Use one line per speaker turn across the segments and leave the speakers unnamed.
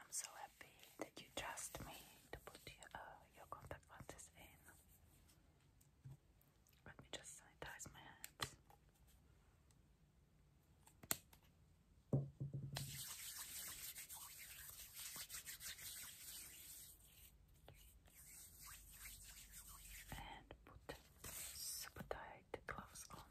I'm so happy that you trust me to put uh, your, contact lenses in. Let me just sanitize my hands. And put super tight gloves on.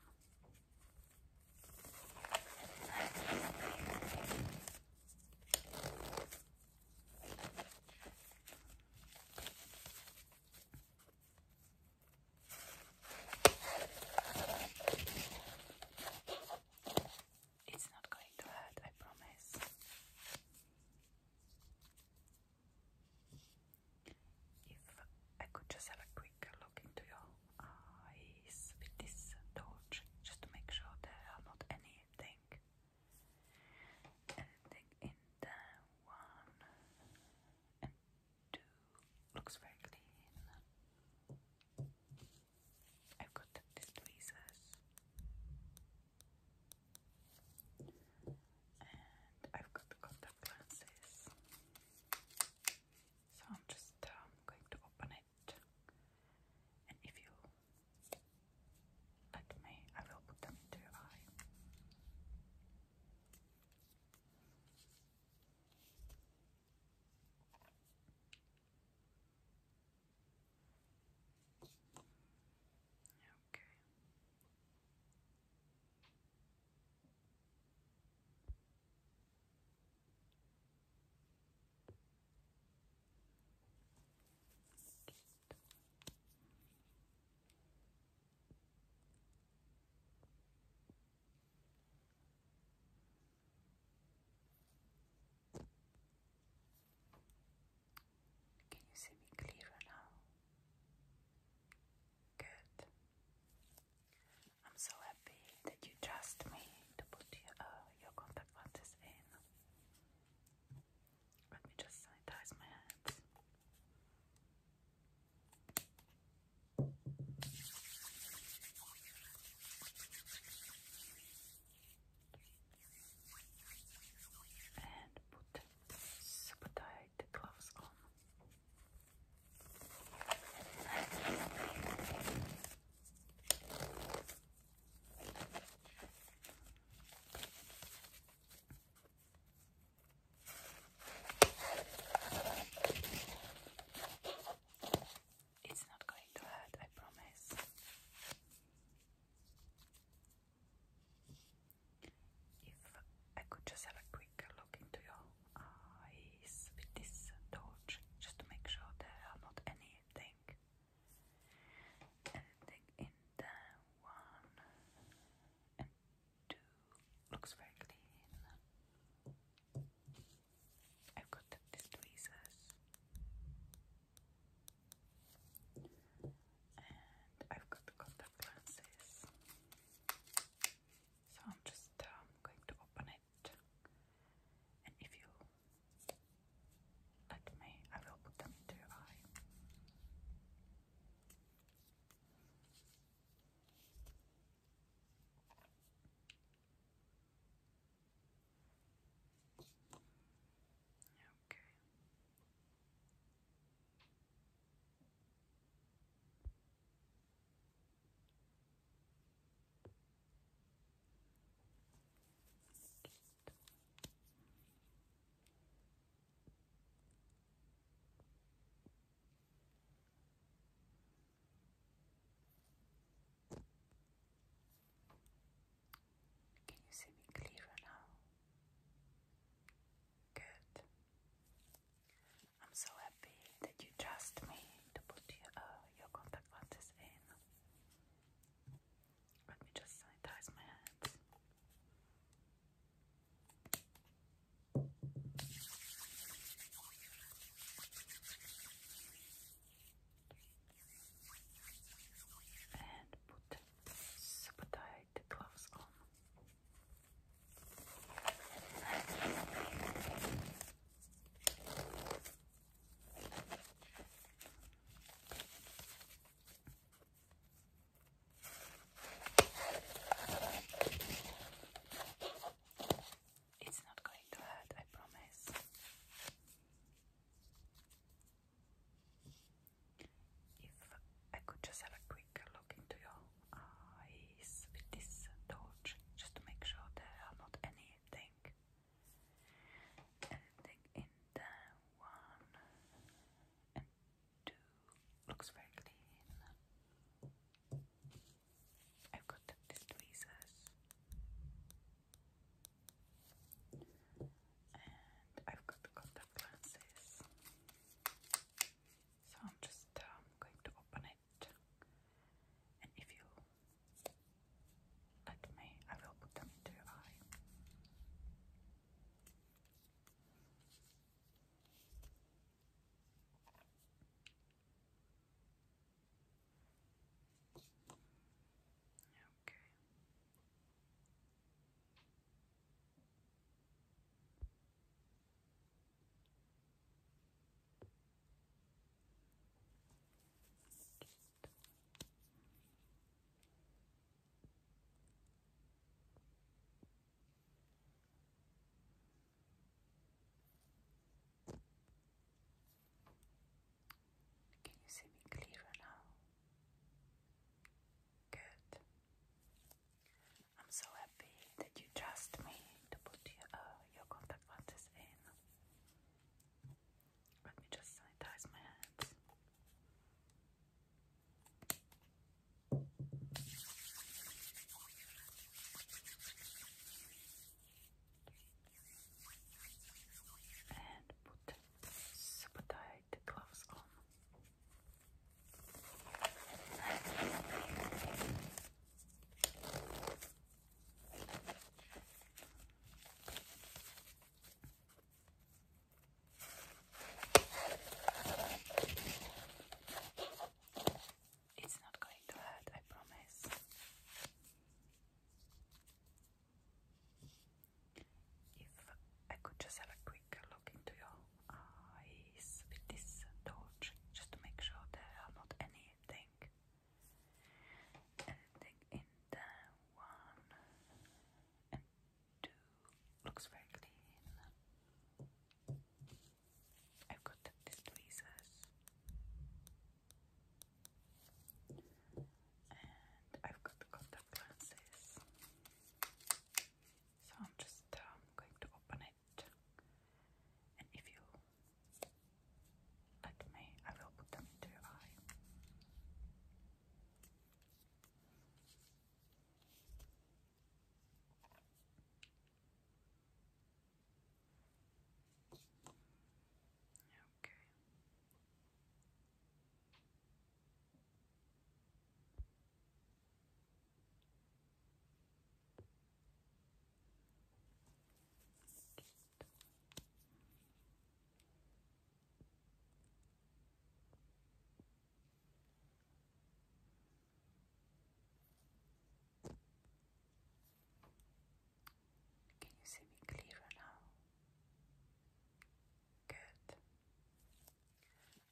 It's not going to hurt, I promise. If I could just have a quick quick look your eyes with this torch just to make sure there are not anything anything in there. One and two looks very clean. I've got these tweezers and I've got the contact lenses. So I'm just uh, going to open it, and if you let me, I will put them into eye.
Okay. Can you see me clearer now? Good. I'm so happy
that you trust me to put uh, your, contact lenses in. Let me just sanitize my hands. And put super tight gloves on.
It's not going to hurt, I promise. If I could just have a quick quick look into your eyes with this torch just to make sure there are not anything anything in
there. One and two looks very clean. I've got these tweezers and I've got the contact lenses. So I'm just uh, going to open it, and if you let me, I will put them into eye.
Okay. Can you see me clearer now? Good. I'm so happy that you trust
me to put your, uh, your contact lenses in. Let me just sanitize my hands. And put super tight gloves on.
It's not going to hurt, I promise. If I could just have a quick look into your uh, is with this torch just to make sure there are not anything
anything in one and two looks very clean I've got these tweezers and I've
got the contact lenses so I'm just uh, going to open it, and if you let me, I will put them into your eye. Okay.
Can you see me clearer now?
Good. I'm so happy that you trust me to put your, uh, your contact lenses in. Let me just sanitize my hands. And put super gloves on.
It's not going to hurt, I promise. If I could just have a quick look into your uh, is with this torch just to make sure there are not anything anything in there
one and two looks very clean I've got these tweezers and I've got contact lenses so I'm just uh, going to open it, and if you let me, I will put them into your eye.
Okay. Can you see me clearer now? Good.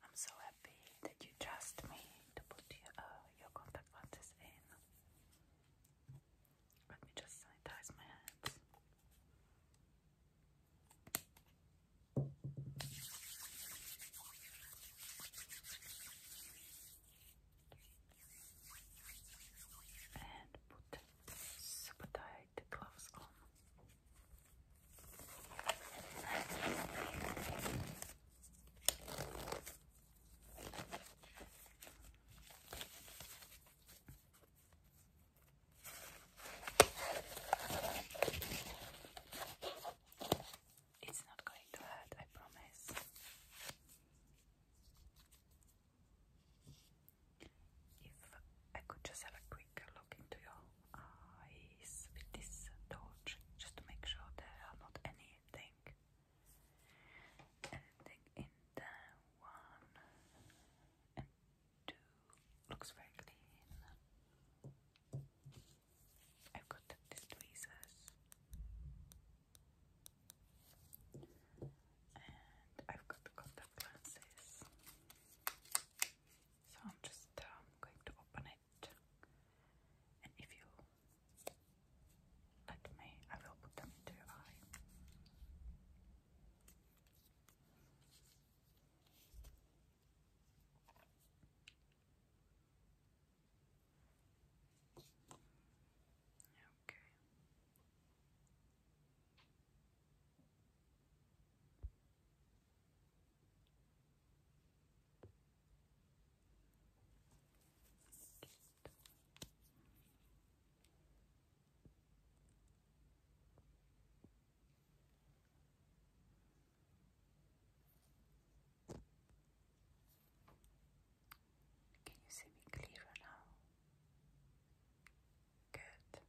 I'm so happy that you trust me to put uh, your, contact
lenses in. Let me just sanitize my hands. And put super tight gloves on.
It's not going to hurt, I promise. If I could just have a quick look into your eyes with this torch just to make sure there are not anything anything in
there. One two looks very clean. I've got these tweezers and I've got the contact lenses. So I'm just uh, going to open it, and if you let me, I will put them into your eye.
Okay. Can you see me clearer now? Good.